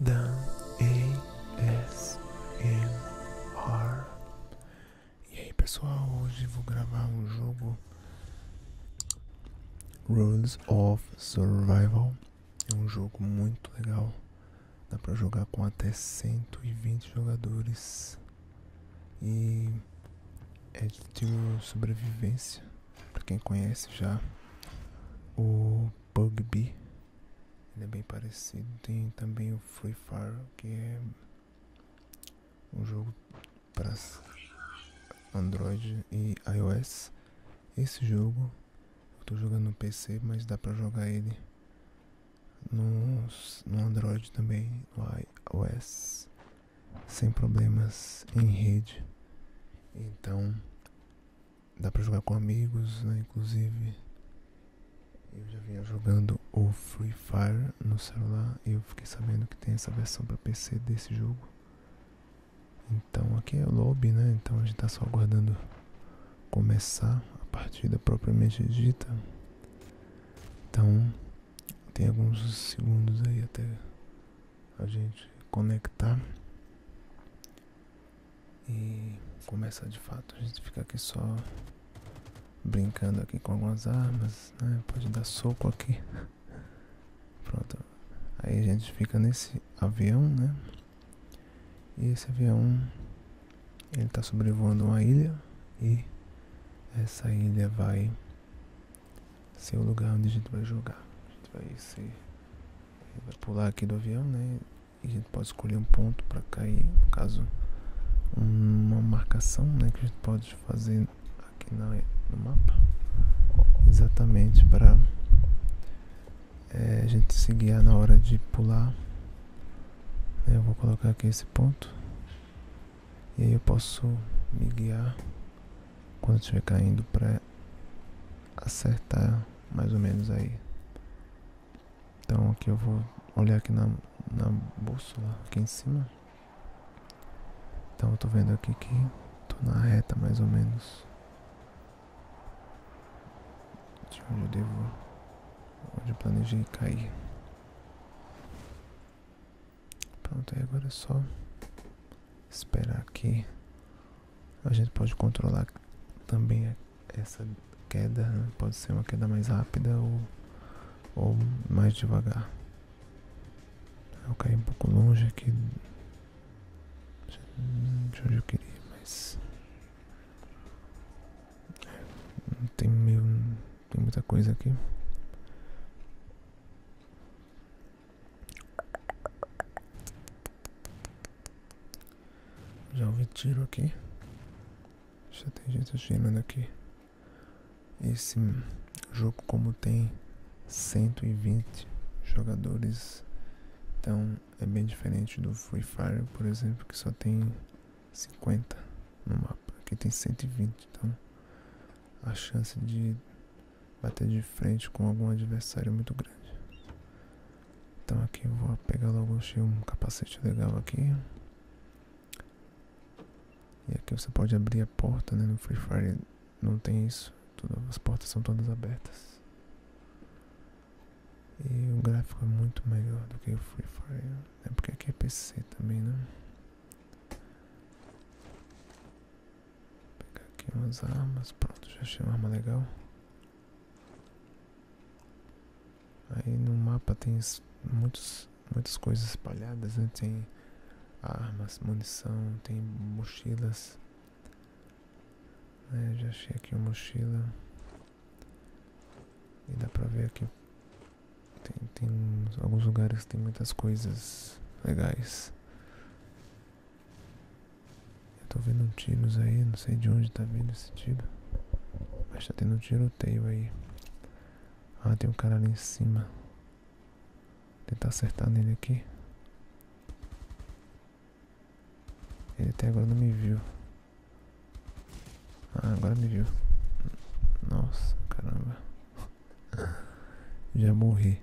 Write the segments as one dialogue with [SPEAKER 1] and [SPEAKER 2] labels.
[SPEAKER 1] Dan A S R. E aí pessoal, hoje vou gravar um jogo Rules of Survival. É um jogo muito legal. Dá pra jogar com até 120 jogadores. E é de sobrevivência. Pra quem conhece já o Bugby. Ele é bem parecido. Tem também o Free Fire, que é um jogo para Android e iOS. Esse jogo eu estou jogando no PC, mas dá para jogar ele no, no Android também, no iOS, sem problemas em rede. Então, Dá pra jogar com amigos, né, Inclusive, eu já vinha jogando o Free Fire no celular e eu fiquei sabendo que tem essa versão pra PC desse jogo. Então aqui é lobby, né? Então a gente tá só aguardando começar a partida propriamente dita. Então tem alguns segundos aí até a gente conectar e começar de fato. A gente ficar aqui só brincando aqui com algumas armas, né? Pode dar soco aqui. Pronto. Aí a gente fica nesse avião, né? E esse avião ele tá sobrevoando uma ilha e essa ilha vai ser o lugar onde a gente vai jogar. A gente vai se vai pular aqui do avião, né? e a gente pode escolher um ponto para cair, no caso uma marcação né, que a gente pode fazer aqui no mapa exatamente para eh, a gente se guiar na hora de pular né, eu vou colocar aqui esse ponto e aí eu posso me guiar quando estiver caindo para acertar mais ou menos aí. Então aqui eu vou olhar aqui na, na bússola, aqui em cima. Então eu tô vendo aqui que tô na reta mais ou menos. De onde eu devo, onde eu planejei cair. Pronto, aí agora é só esperar aqui a gente pode controlar também essa queda, né? pode ser uma queda mais rápida ou, ou mais devagar. Eu caí um pouco longe aqui, de onde eu queria, mas é, tem meio, tem muita coisa aqui. Já o tiro aqui. Já tem gente girando aqui. Esse jogo, como tem 120 jogadores, então é bem diferente do Free Fire, por exemplo, que só tem 50 no mapa. Aqui tem 120, então a chance de bater de frente com algum adversário é muito grande. Então aqui eu vou pegar logo, achei um capacete legal aqui. E aqui você pode abrir a porta, né? No Free Fire não tem isso. Todas as portas são todas abertas. E o gráfico é muito melhor do que o Free Fire. É porque aqui é PC também, né? Vou pegar aqui umas armas. Pronto, já achei uma arma legal. Aí no mapa tem muitos, muitas coisas espalhadas, né? Tem armas, munição, tem mochilas. É, já achei aqui uma mochila. E dá pra ver que Tem, tem alguns lugares que tem muitas coisas legais. Eu tô vendo tiros aí, não sei de onde tá vindo esse tiro. Mas tá tendo um tiroteio aí. Ah, tem um cara ali em cima. Vou tentar acertar nele aqui. Ele até agora não me viu. Ah, agora me viu. Nossa, caramba. Já morri.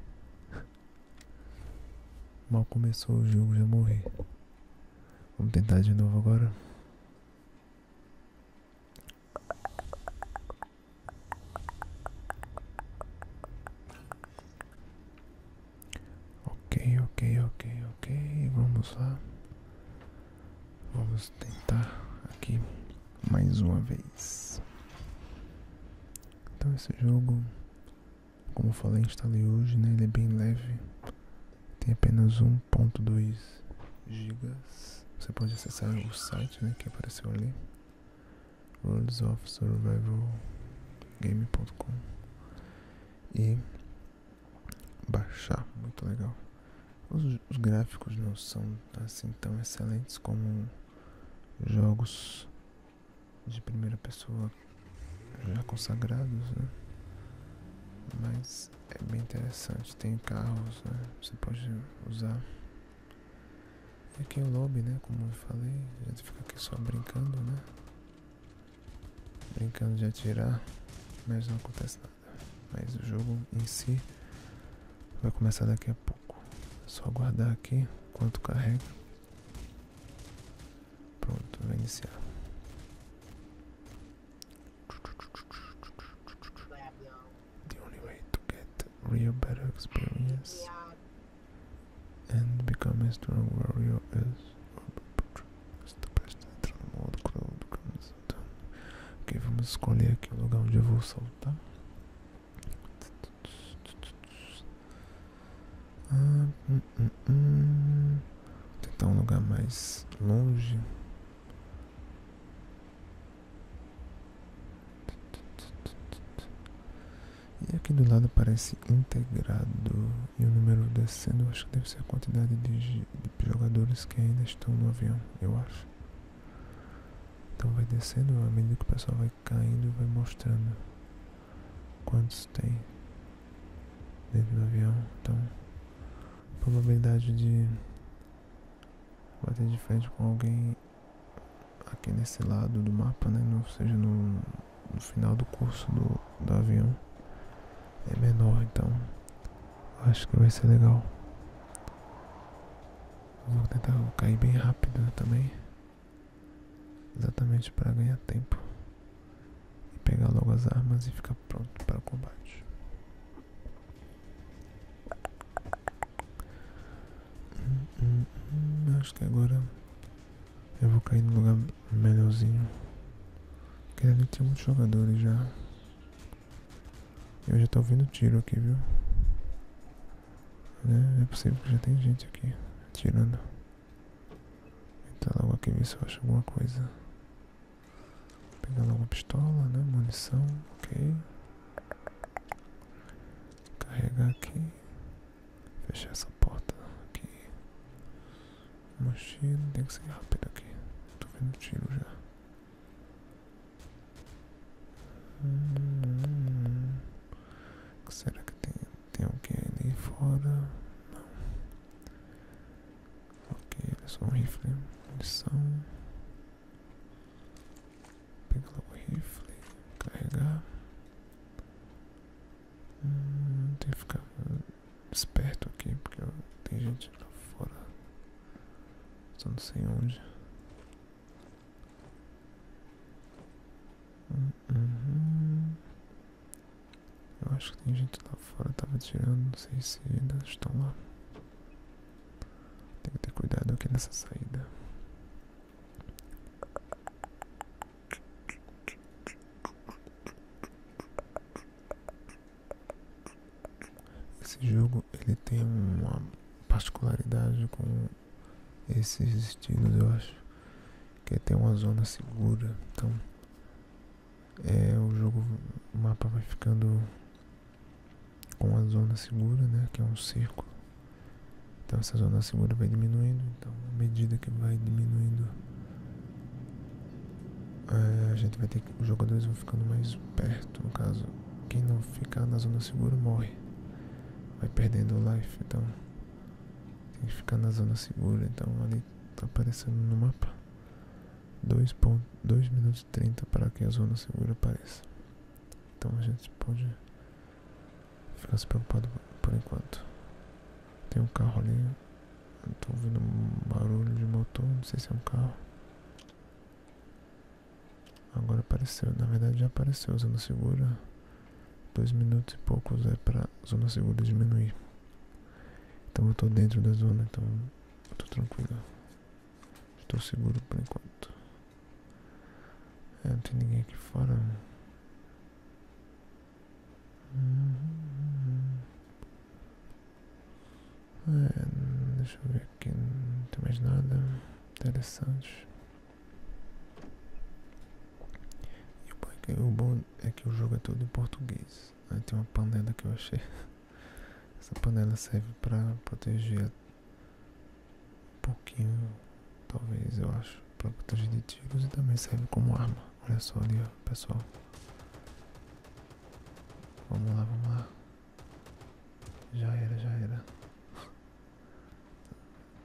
[SPEAKER 1] Mal começou o jogo, já morri. Vamos tentar de novo agora. Ok, ok, ok, ok. Vamos lá. Vamos tentar aqui mais uma vez. Então esse jogo como eu falei, instalei hoje, né? Ele é bem leve. Tem apenas 1.2 GB. Você pode acessar o site, né? Que apareceu ali. Worlds of Survival Game.com E baixar, muito legal. Os, os gráficos não são assim tão excelentes como jogos de primeira pessoa já uhum. consagrados, né? Mas é bem interessante, tem carros, né? Você pode usar. aqui é o lobby, né? Como eu falei, a gente fica aqui só brincando, né? Brincando de atirar, mas não acontece nada. Mas o jogo em si vai começar daqui a pouco. É só aguardar aqui enquanto carrega. The only way to get real better experience and become a strong warrior is Ok, vamos escolher aqui o lugar onde eu vou soltar. Vou tentar um lugar mais longe. E aqui do lado parece integrado e o número descendo, acho que deve ser a quantidade de, jogadores que ainda estão no avião, eu acho. Então vai descendo, à medida que o pessoal vai caindo, e vai mostrando quantos tem dentro do avião. Então, a probabilidade de bater de frente com alguém aqui nesse lado do mapa, né? Ou seja, no, final do curso do avião é menor, então acho que vai ser legal. Vou tentar cair bem rápido também exatamente para ganhar tempo e pegar logo as armas e ficar pronto para o combate. Hum, hum, hum, acho que agora eu vou cair no lugar melhorzinho. Porque ali tem muitos jogadores já. Eu já estou ouvindo tiro aqui, viu? É, é possível que já tem gente aqui tirando. Entrar logo aqui ver se eu acho alguma coisa. Pegar logo a pistola, né? Munição, ok. Carregar aqui. Fechar essa porta aqui. Mochila, tem que ser rápido aqui. Tô vendo tiro já. hum. hum, hum, hum. O que será que tem? Tem alguém ali fora? Ok, é só um rifle. Munição. pegar o rifle. Carregar. Hum, tem que ficar esperto aqui, porque tem gente lá fora. Só não sei onde. Hum, uhum. Eu acho que tem gente lá fora, tava tirando, não sei se ainda estão lá. Tem que ter cuidado aqui nessa saída. Esse jogo ele tem uma particularidade com esses estilos, eu acho, quer ter uma zona segura. Então, é, o jogo, mapa vai ficando com a zona segura, né, que é um círculo. Então essa zona segura vai diminuindo, então à medida que vai diminuindo, é, a gente vai ter que, os jogadores vão ficando mais perto, no caso, quem não ficar na zona segura morre, vai perdendo life, então tem que ficar na zona segura, então ali tá aparecendo no mapa. 2, 2 minutos e 30 para que a zona segura apareça. Então a gente pode ficar se preocupado por enquanto. Tem um carro ali. Eu tô ouvindo um barulho de motor, não sei se é um carro. Agora apareceu, na verdade já apareceu a zona segura. Dois minutos e poucos é pra zona segura diminuir. Então eu tô dentro da zona, então eu tô tranquilo. Estou seguro por enquanto. É, não tem ninguém aqui fora. É, deixa eu ver aqui, não tem mais nada interessante. E o bom, é que o jogo é todo em português. Aí tem uma panela que eu achei. Essa panela serve para proteger um pouquinho, talvez eu acho, para proteger de tiros e também serve como arma. Olha só ali, pessoal. Vamos lá, vamos lá. Já era, já era.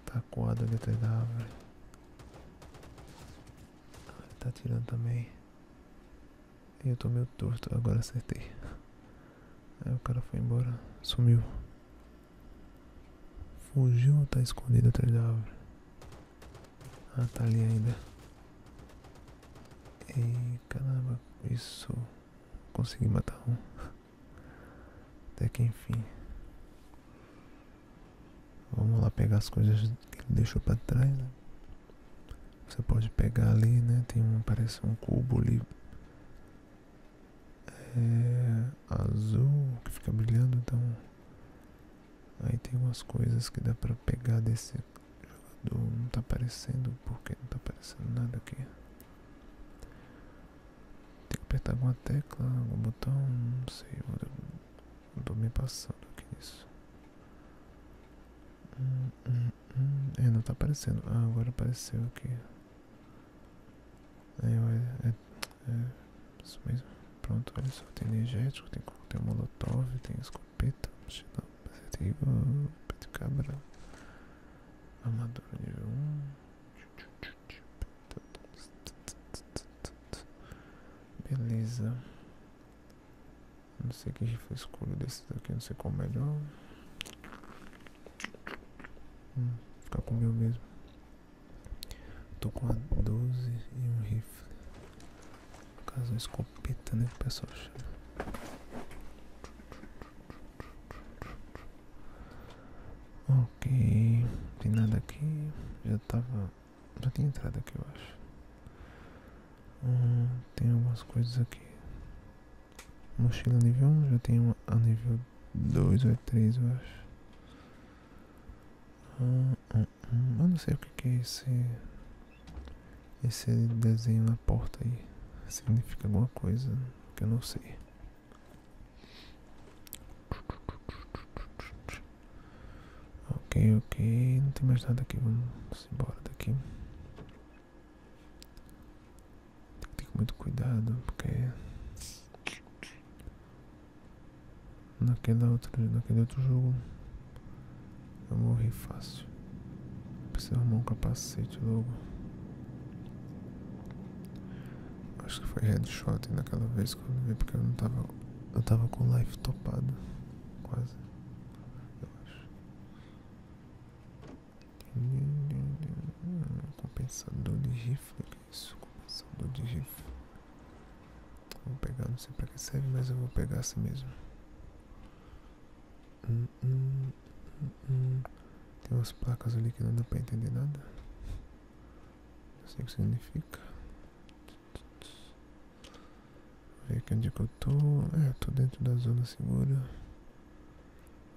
[SPEAKER 1] Tá coado ali atrás da árvore. tá atirando também. eu tô meio torto, agora acertei. Aí o cara foi embora, sumiu. Fugiu ou tá escondido atrás da árvore? Ah, tá ali ainda. E caramba, isso. Consegui matar um. Até que enfim. Vamos lá pegar as coisas que ele deixou para trás, né? Você pode pegar ali, né? Tem um, parece um cubo ali. É azul, que fica brilhando, então... Aí tem umas coisas que dá pra pegar desse jogador. Não tá aparecendo, porque não tá aparecendo nada aqui. Tem que apertar alguma tecla, algum botão, não sei. Vou eu tô me passando aqui nisso. Hum, hum, hum, É, não tá aparecendo. Ah, agora apareceu aqui. É, é, é, é isso mesmo. Pronto, olha só. Tem energético, tem coquetel molotov, tem escopeta, mochilão, pesadinho, peito cabra, armadura nível 1. Beleza. Não sei que rifle escuro desse daqui, não sei qual é melhor. Hum, ficar com o meu mesmo. Tô com a 12 e um rifle. caso, uma escopeta, né? pessoal Ok, tem nada aqui. Já tava já tem entrada aqui, eu acho. Ah, tem algumas coisas aqui. Mochila nível 1, já tem uma, a nível 2 ou 3, eu acho. Hum, Eu não sei o que, que é esse. Esse desenho na porta aí. Significa alguma coisa que eu não sei. Ok, ok, não tem mais nada aqui, vamos embora daqui. Tem que ter muito cuidado, porque naquela outra, naquele outro jogo eu morri fácil. Preciso arrumar um capacete logo. Acho que foi headshot naquela vez que eu vi porque eu não tava. Eu tava com life topado. Quase. Eu acho. Compensador de rifle, né, que é isso? Compensador de rifle. Vou pegar, não sei pra que serve, mas eu vou pegar assim mesmo. Hum, hum, hum, Tem umas placas ali que não dá pra entender nada. Não sei o que significa. Ver aqui onde é que eu tô. É, eu tô dentro da zona segura.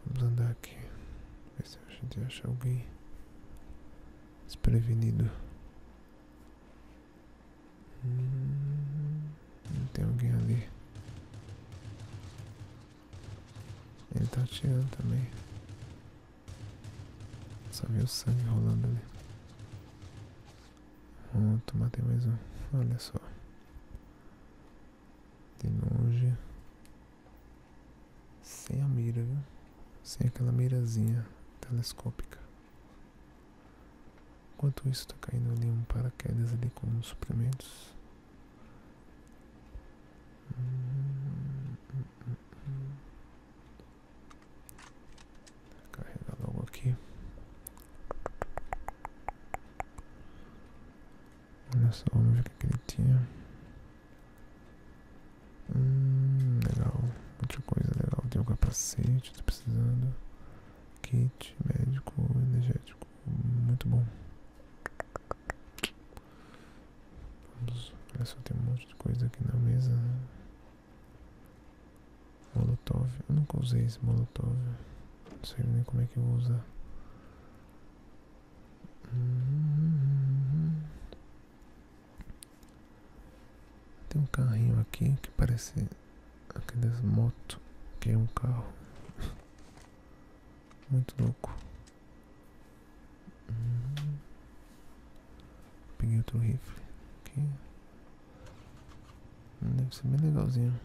[SPEAKER 1] Vamos andar aqui. Ver se a gente acha alguém desprevenido. Hum, não tem alguém ali. Ele tá atirando também. Só vi o sangue rolando ali. Pronto, ah, matei mais um. Olha só. De longe. Sem a mira, viu? Sem aquela mirazinha telescópica. Enquanto isso, tá caindo ali um paraquedas ali com uns suprimentos. Hum, hum, hum, Carregar logo aqui. Olha só, vamos ver o que ele tinha. Hum, legal. Muita coisa legal. Tem um capacete, tô precisando. Kit médico energético. Muito bom. Vamos. Olha só, tem um monte de coisa aqui na mesa. Né? Molotov. Eu nunca usei esse molotov. Não sei nem como é que eu vou usar. Tem um carrinho aqui que parece aqueles moto que é um carro muito louco. Uhum. Peguei outro rifle aqui. Hum, deve ser bem legalzinho.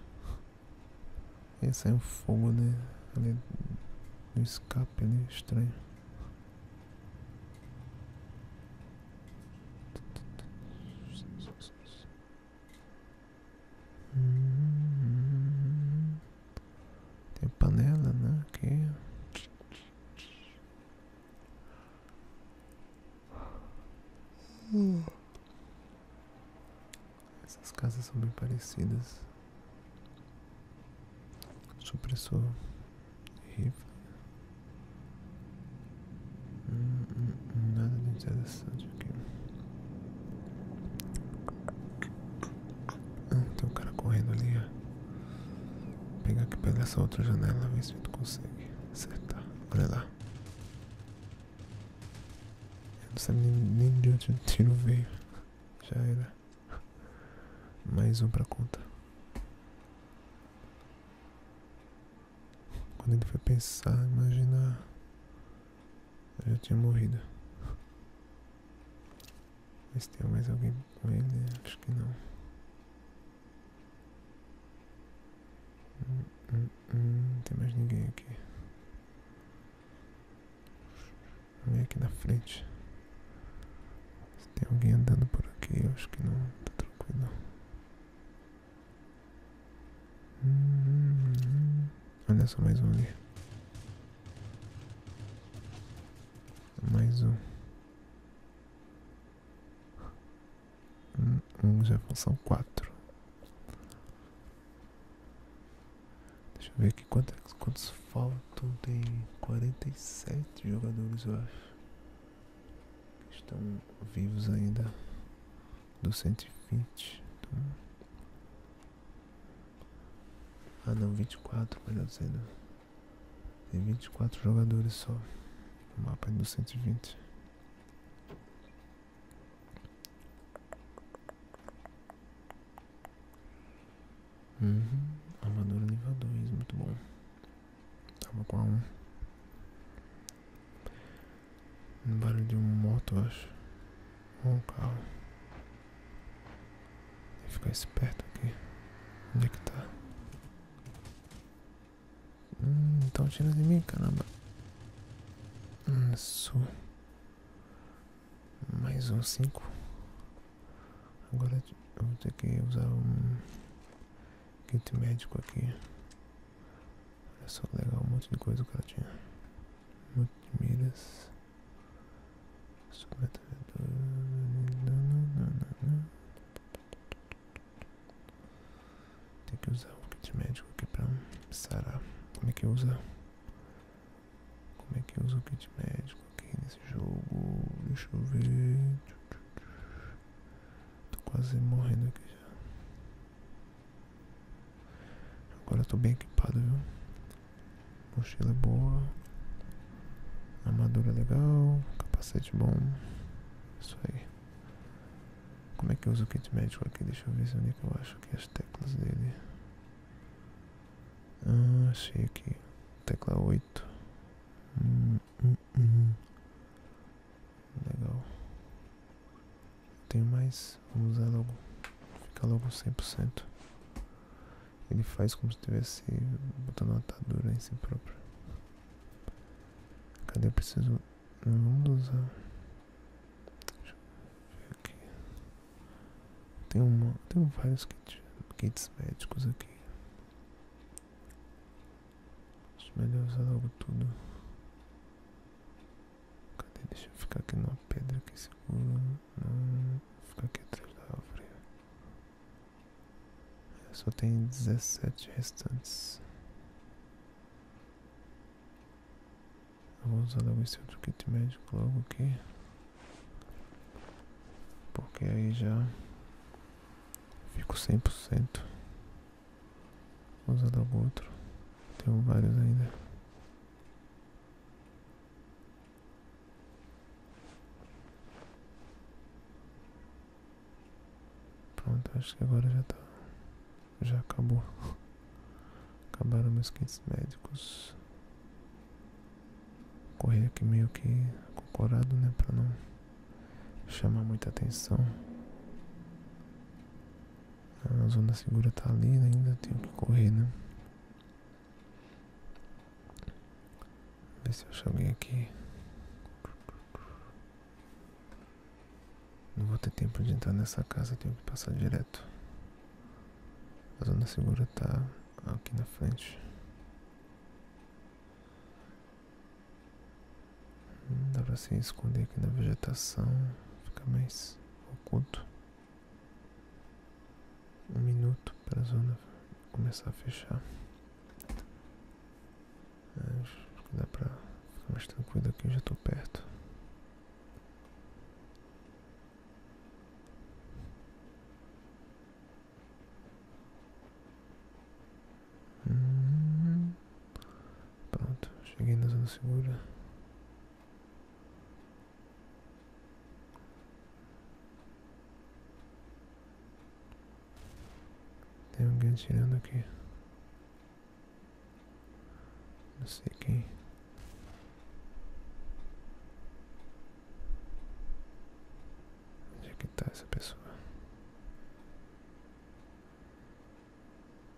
[SPEAKER 1] E sai é um fogo, né? Ali no escape ali, né? estranho. Uhum. tem panela, né? Aqui. Essas casas são bem parecidas. Supressor rifle. nada de interessante aqui. Ah, tem um cara correndo ali, Vou pegar aqui pela essa outra janela, ver se tu consegue acertar. Olha lá. não sei nem, de onde o tiro veio. Já era. Mais um para conta. Quando ele foi pensar, imagina. Eu já tinha morrido. Mas tem mais alguém com ele? Acho que não. Hum, hum, hum, não tem mais ninguém aqui. Vem aqui na frente. tem alguém andando por aqui, acho que não. Tá tranquilo. Olha só mais um ali. Mais um. Um já é função 4. Deixa eu ver aqui quantos, é quantos faltam. Tem 47 jogadores, eu acho. Que estão vivos ainda. Do 120. Então... Ah não, 24, melhor dizendo. Tem 24 jogadores só. O mapa é do 120. Hum, Armadura nível 2, muito bom. Tava com a 1. Um barulho de uma moto, acho. Ou um carro. Tem que ficar esperto aqui. Onde é que tá? Hum, estão atirando em mim, caramba. Isso. Hum, Mais um 5. Agora vou ter que usar um quinto médico aqui. Olha só que legal, um monte de coisa que ela tinha. Um monte de miras. Sobretudo. Não, tem que usar o kit médico aqui pra sarar. Como é que usa? Como é que usa o kit médico aqui nesse jogo? Deixa eu ver. Tô quase morrendo aqui já. Agora eu tô bem equipado, viu? Mochila é boa. Armadura legal, capacete bom. Isso aí. Como é que eu uso o kit médico aqui? Deixa eu ver se onde é que eu acho aqui as teclas dele. Ah, achei aqui. Tecla 8. Hum, hum, hum. Legal. Tem mais. Vamos usar logo. Fica logo 100%. Ele faz como se tivesse botando uma atadura em si próprio. Cadê? Eu preciso. Não vamos usar. Ah, deixa eu aqui. Tem, um tem vários kits, kits médicos aqui. Acho melhor usar algo tudo. Cadê? Deixa eu ficar aqui numa pedra que segura. ficar aqui atrás da só tem dezessete restantes. vou usar o esse outro kit médico logo aqui. Porque aí já fico 100%. Vou usar o outro. Tenho vários ainda. Pronto, acho que agora já tá. Já acabou. Acabaram meus quentes médicos. correr aqui meio que acocorado, né? Pra não chamar muita atenção. A zona segura tá ali, né, ainda tenho que correr, né? Ver se eu acho alguém aqui. Não vou ter tempo de entrar nessa casa, tenho que passar direto. A zona segura está aqui na frente. Dá para se esconder aqui na vegetação, ficar mais oculto. Um minuto para a zona começar a fechar. Acho que dá pra ficar mais tranquilo aqui, já tô perto. Uhum. pronto, cheguei na zona segura. Tem alguém atirando aqui. Não sei quem. Onde é que está essa pessoa?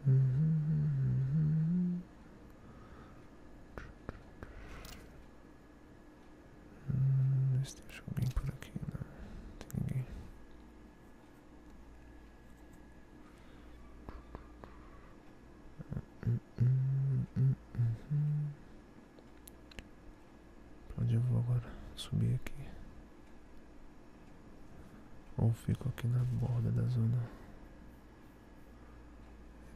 [SPEAKER 1] Uhum, uhum, uhum. Hum, se alguém tipo por aqui, né? não. tem ninguém. Hum, onde eu vou agora? Subir aqui. Ou fico aqui na borda da zona.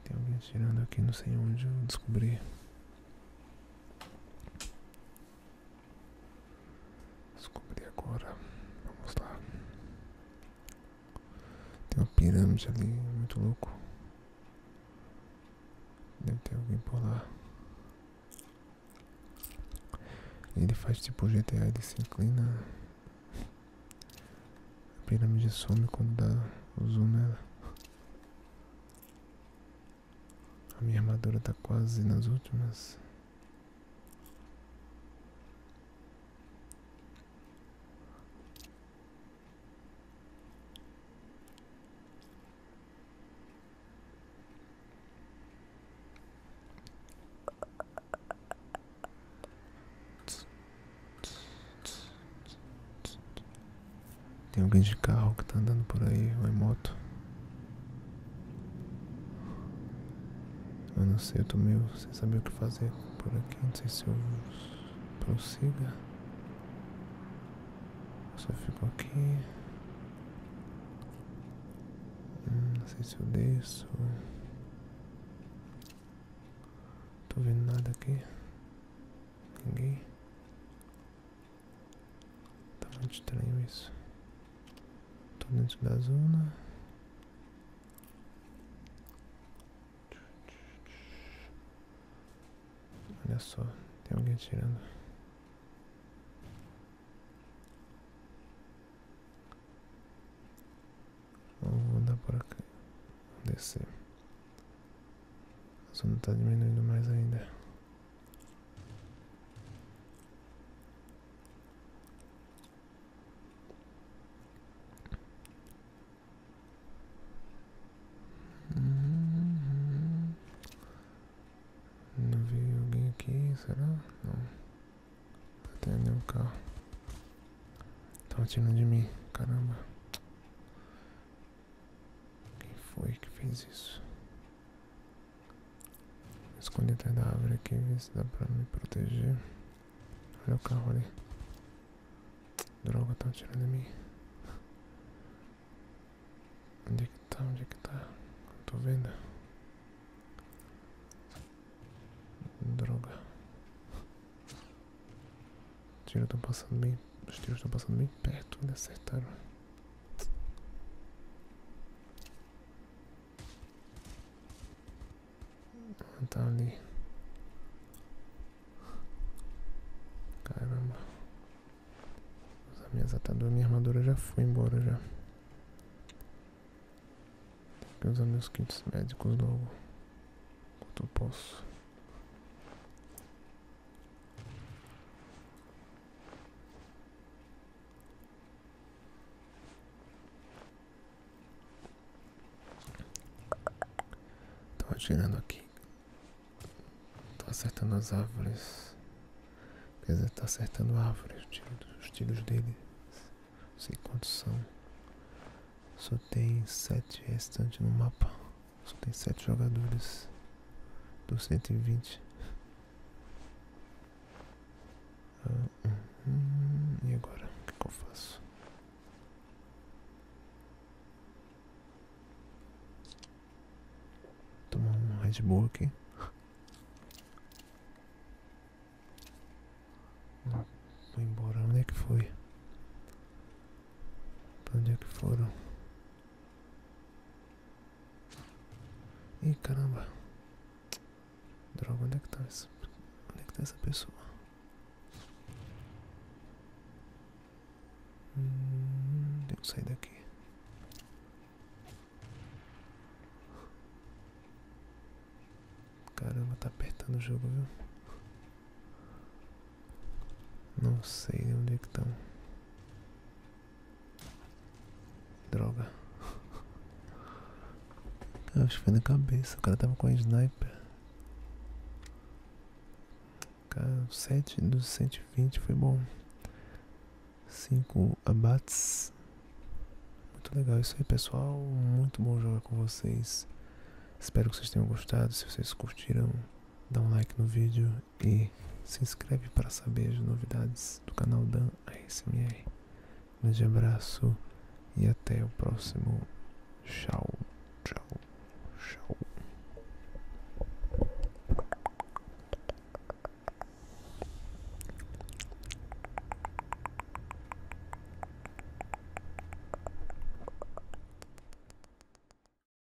[SPEAKER 1] Tem alguém tirando aqui, não sei onde eu descobri. Descobri agora. Vamos lá. Tem uma pirâmide ali, muito louco. Deve ter alguém por lá. Ele faz tipo GTA, ele se inclina. A pirâmide some quando dá o zoom nela. A minha armadura tá quase nas últimas. Tem alguém de carro que tá andando por aí, ou em moto. Eu não sei, eu tô meio sem saber o que fazer por aqui. Não sei se eu prossiga. só fico aqui. Hum, não sei se eu desço. Tô vendo nada aqui. Ninguém. Tá muito estranho isso. Tô dentro da zona. Olha só, tem alguém atirando. Vou andar por aqui. descer. A zona tá diminuindo mais ainda. Hum, não vi alguém aqui, será? Não. Até nem o carro. tá tirando de mim, caramba. Quem foi que fez isso? Escolhi atrás da árvore aqui, ver se dá pra me proteger. Olha o carro ali. Droga, estão atirando em mim. Onde é que tá? Onde é que tá? Não tô vendo. Droga. Tiro, tô passando bem os tiros estão passando bem perto, me acertaram. Ah, tá ali. Caramba. As minhas ataduras, minha armadura já foi embora já. Vou usar meus quintos médicos logo. Quanto eu posso. Tô atirando aqui. Tô acertando as árvores. Quer dizer, tá acertando árvores. Os tiros dele. Não sei quantos são. Só tem sete restantes no mapa. Só tem sete jogadores dos cento e vinte. Ah, uhum. e agora? O que, eu faço? Tomar um Red Bull aqui. Vou embora. Onde é que foi? Pra onde é que foram? Ih, caramba. Droga, onde é que tá essa, onde é que tá essa pessoa? Hum, tenho que sair daqui. Caramba, tá apertando o jogo, viu? Não sei onde é estão. Droga. acho que foi na cabeça. O cara tava com a sniper. Cara, 7 dos 120 foi bom. 5 abates. Muito legal isso aí, pessoal. Muito bom jogar com vocês. Espero que vocês tenham gostado. Se vocês curtiram, dá um like no vídeo e se inscreve para saber as novidades do canal Dan ASMR. Um grande abraço e até o próximo. Tchau, tchau, tchau.